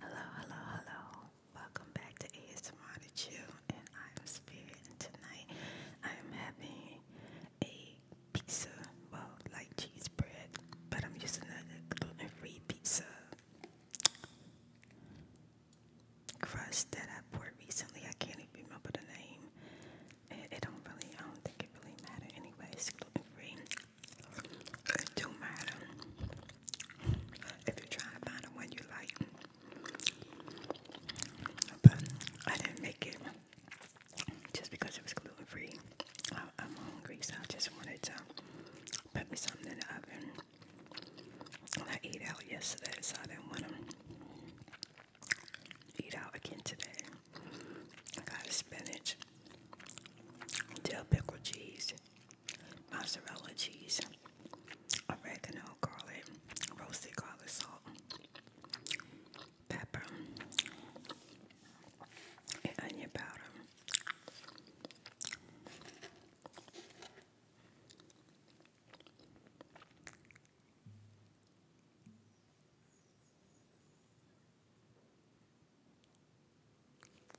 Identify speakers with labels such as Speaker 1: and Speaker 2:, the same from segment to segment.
Speaker 1: Hello, hello, hello. Welcome back to ASMR to and I'm Spirit, and tonight I'm having a pizza, well, like cheese bread, but I'm using a gluten-free pizza crust that I poured recently. I can't even remember the name. It, don't really, I don't think it really matter anyway. gluten-free. It don't matter if you try to find the one you like. But I didn't make it just because it was gluten free. I, I'm hungry, so I just wanted to put me something in the oven. I ate out yesterday, so I didn't want to eat out again today. I got a spinach dill pickle cheese, mozzarella cheese, oregano, garlic, roasted garlic salt, pepper, and onion powder.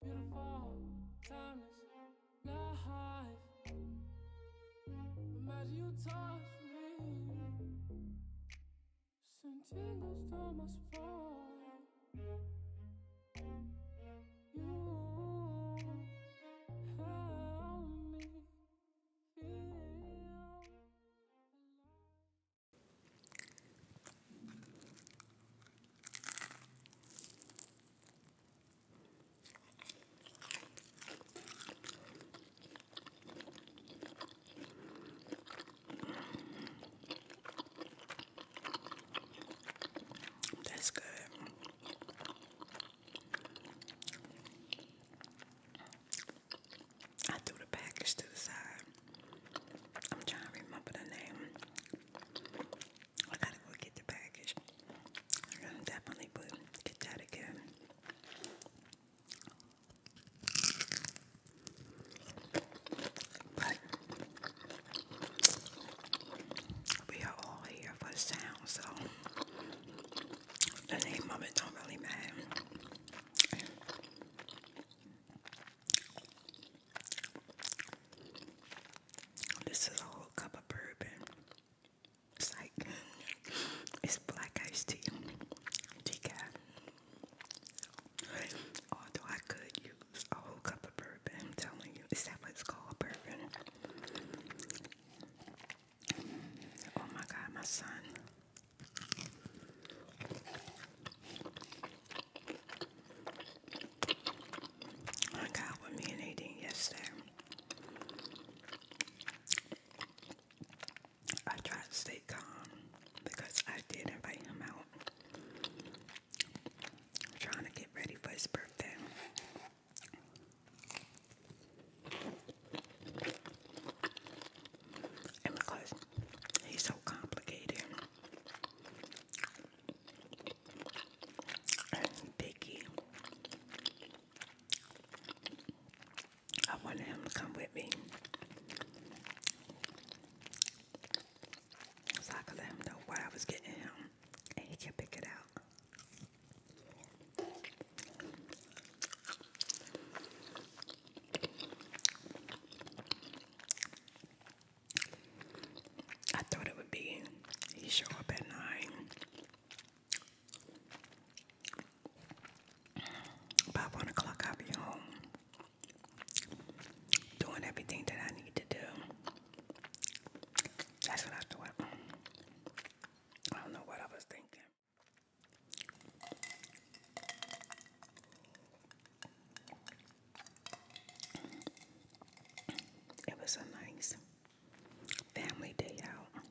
Speaker 1: Beautiful, timeless, life. Imagine you touch me. Send tingles down my spine. You help me feel alive. That's good. I threw the package to the side. I'm trying to remember the name. I gotta go get the package. I'm gonna get that again. But we are all here for the sound, so the name of it don't really matter. This is a whole cup of bourbon. It's like it's black iced tea, decaf. Although I could use a whole cup of bourbon, I'm telling you, is that what it's called, bourbon? Oh my God, my son. I got with me and Nadine yesterday. I tried to stay calm because I did invite him out. I'm trying to get ready for his birthday. And because he's so complicated, Picky. I wanted him to come with me. So I could let him know what I was getting him and he can pick out. I thought it would be you show up at nine. By one o'clock, I'll be home doing everything that I need to do. That's what I thought. I don't know what I was thinking. It was a nice family day out.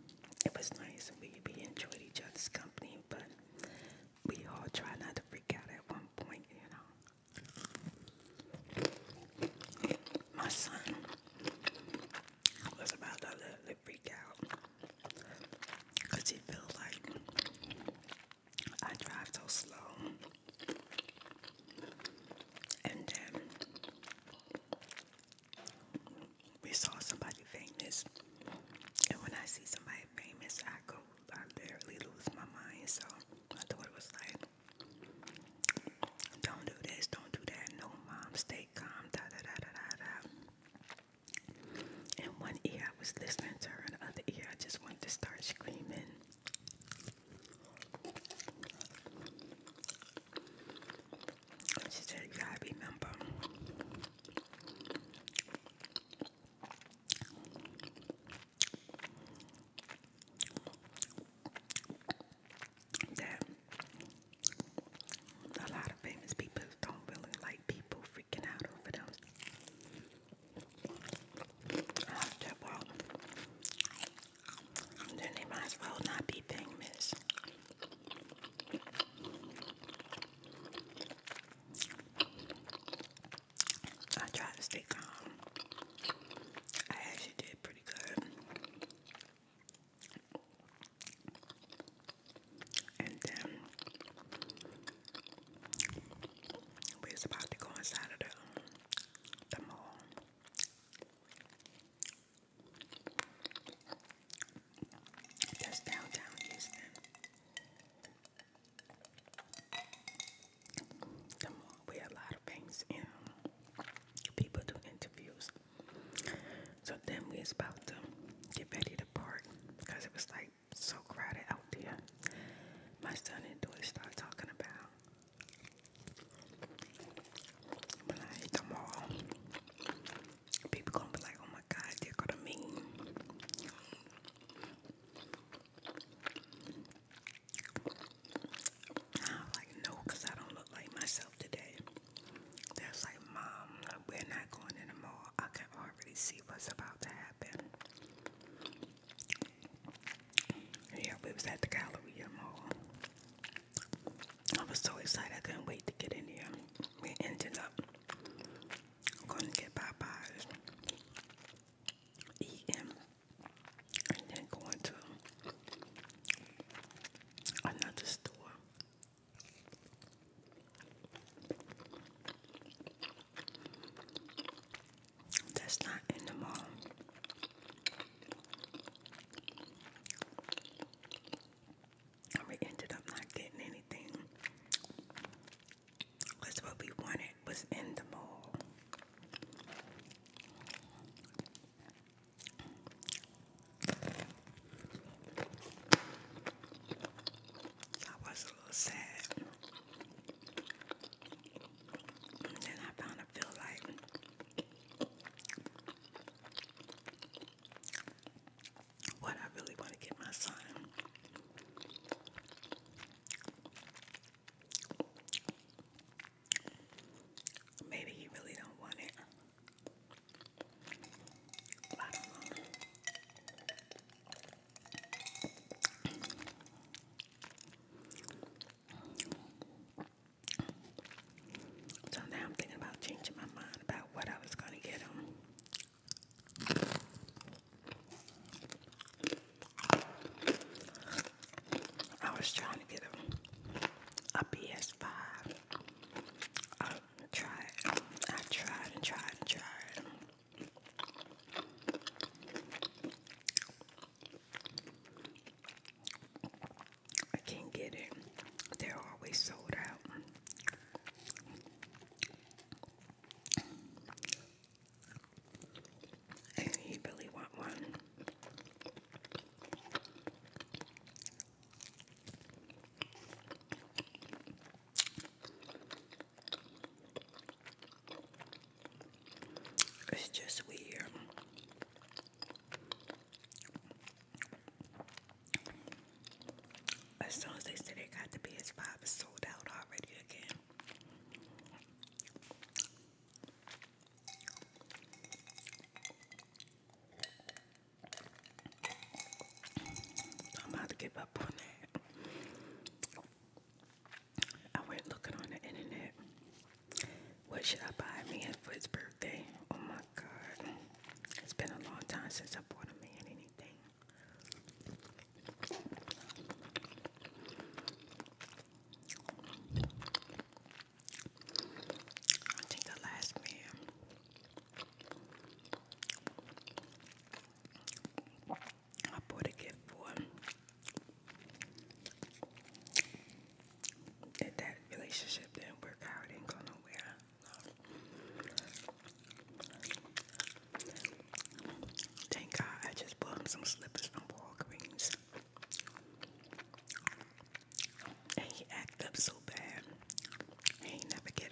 Speaker 1: It was nice. We, we enjoyed each other's company, but we all tried not to freak out at one point, you know. My son was about to let freak out because he felt like I drive too slow. And then um, we saw somebody famous. And when I see somebody famous, I go, I barely lose my mind. So I thought it was like, don't do this, don't do that. No, mom, stay calm. Da da da da da da. one ear, I was listening to and the other ear, I just wanted to start screaming. She said, You gotta remember. That a lot of famous people don't really like people freaking out over them. I said, well, then they might as well not be famous. I tried to stay calm. I actually did pretty good. And then we was about to go inside of the, the mall. There's downtown Come on, we have a lot of things in. People do interviews. So then we was about to get ready to park because it was like so crowded out there. My son and daughter start talking about when I eat them all, people gonna be like, oh my god, they're gonna mean. I'm like, no, I don't look like myself today. That's like, Mom, we're not going in the mall. I can already see what's about to happen. Yeah, we was at the Galleria Mall. I was so excited, I couldn't wait to get in there. We ended up going to get Popeyes, eating, and then going to another store. That's not in the mall we ended up not getting anything. Because what we wanted was in the mall. I was a little sad. And I found a feel like what I really want to get my son maybe he really don't want it. So now I'm thinking about changing my mind about what I was going to get him. I was trying to get him a PS5. I um, tried, I tried and tried and tried. I can't get it. They're always sold out. And you really want one. It's just weird. As soon as they said it got the PS5, sold out already again. I'm about to give up on that. I went looking on the internet what should I buy a man for his birthday? Oh my god. It's been a long time since I bought a man anything. I think the last man I bought a gift for that relationship didn't work out, it did nowhere. Thank God I just bought him some slippers from Walgreens. And he acted up so bad. I ain't never get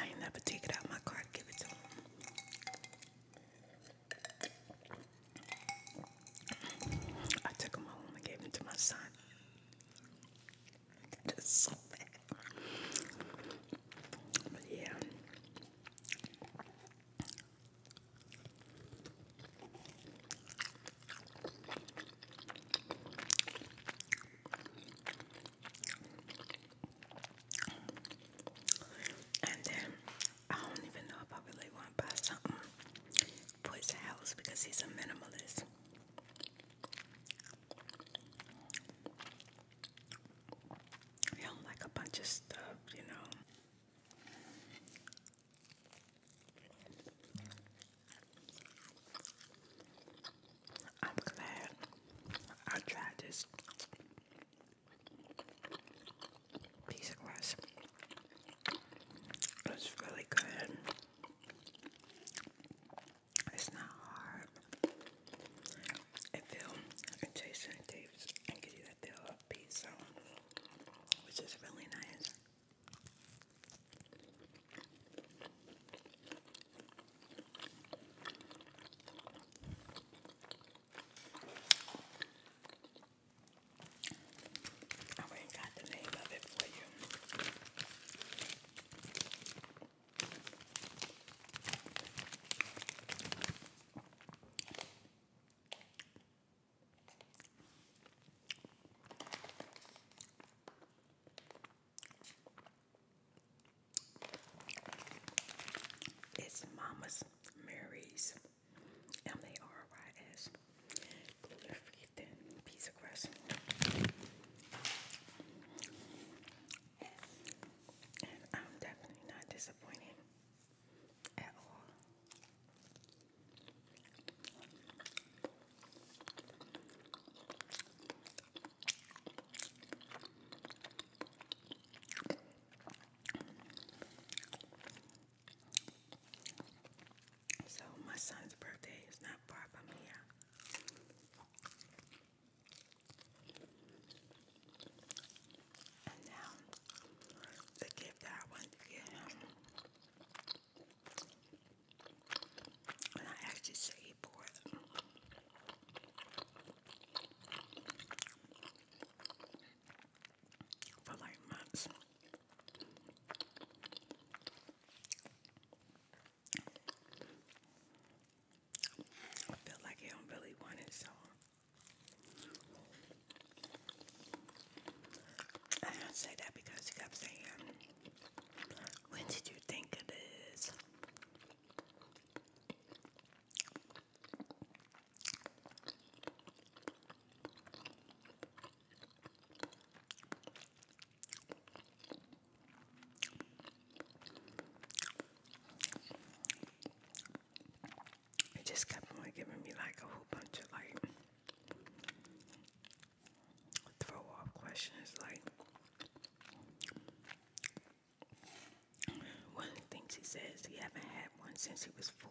Speaker 1: I ain't never take it out my car give it to him. I took them home and gave them to my son. yeah. And then I don't even know if I really want buy something for house because he's a minimalist. He do like a bunch of stuff, you know. I'm glad I tried this piece of glass. It's really good. It's not hard. It feels and tastes and tapes and gives you that feel of pizza, which is really nice. I ain't got the name of it for you. It's Mama's Mary's M-A-R-Y-S, gluten-free thin pizza crust. And I'm definitely not disappointed at all. So my son's birthday is not far from here. And now the gift that I wanted to get him, and I actually saved for it for like months. I feel like I don't really want it, so I say that because you kept saying, "When did you think of this?" He just kept on giving me like a whole bunch of like throw off questions like one of the things he says he haven't had one since he was four.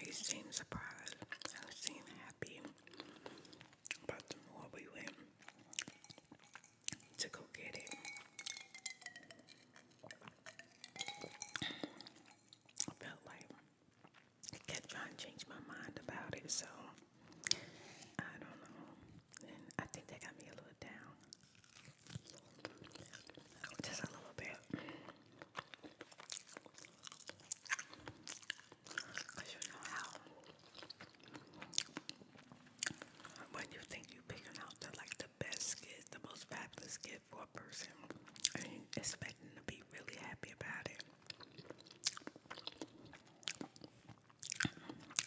Speaker 1: He seemed surprised. I seemed happy about the more we went to go get it. I felt like I kept trying to change my mind about it, so I don't know. I think that got me a little down. Oh, just a little bit. Because you know how when you think you picking out the like the best gift, the most fabulous gift for a person, and you expecting to be really happy about it.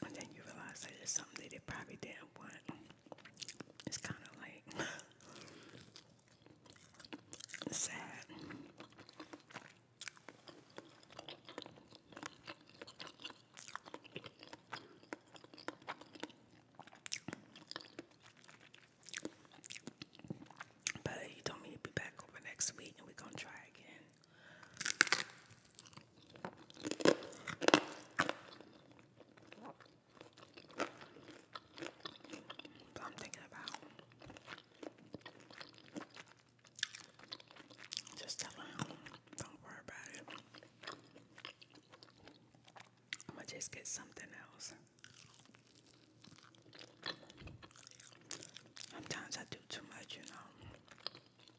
Speaker 1: And then you realize that it's something that they probably didn't want. It's kind of like sad. But he told me he'd be back over next week and we're gonna try again. I'm thinking about just telling him, don't worry about it. I'm just get something else. Sometimes I do too much, you know.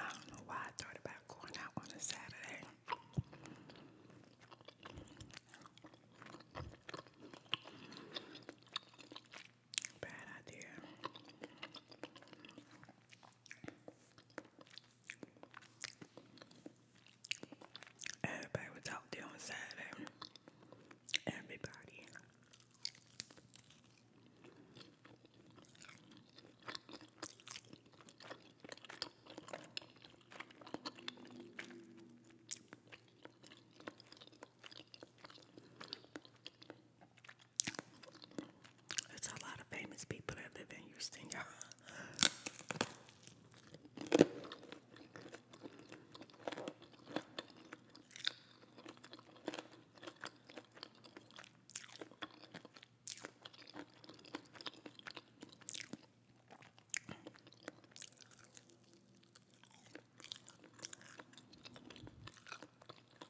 Speaker 1: I don't know why I thought about going out on a Saturday. Bad idea. Everybody was out there on Saturday. Everybody. There's a lot of famous people that live in Houston, y'all.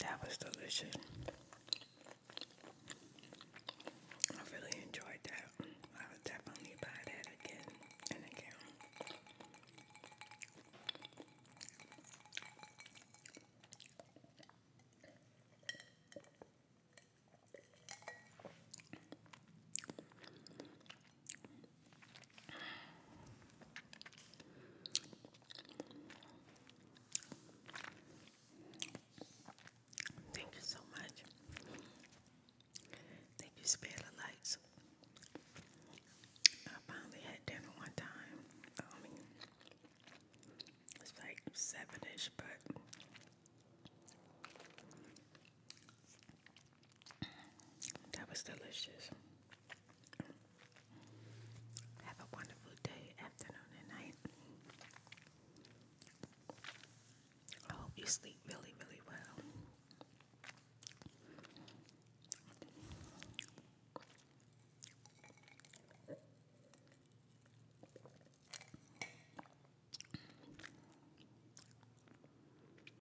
Speaker 1: That was delicious. I really enjoyed that. I would definitely buy that again and again. Thank you so much. Thank you, Spirit of Lights. I finally had dinner one time. I um, mean, it's like seven ish, but that was delicious. Have a wonderful day, afternoon, and night. I hope you sleep really, really well.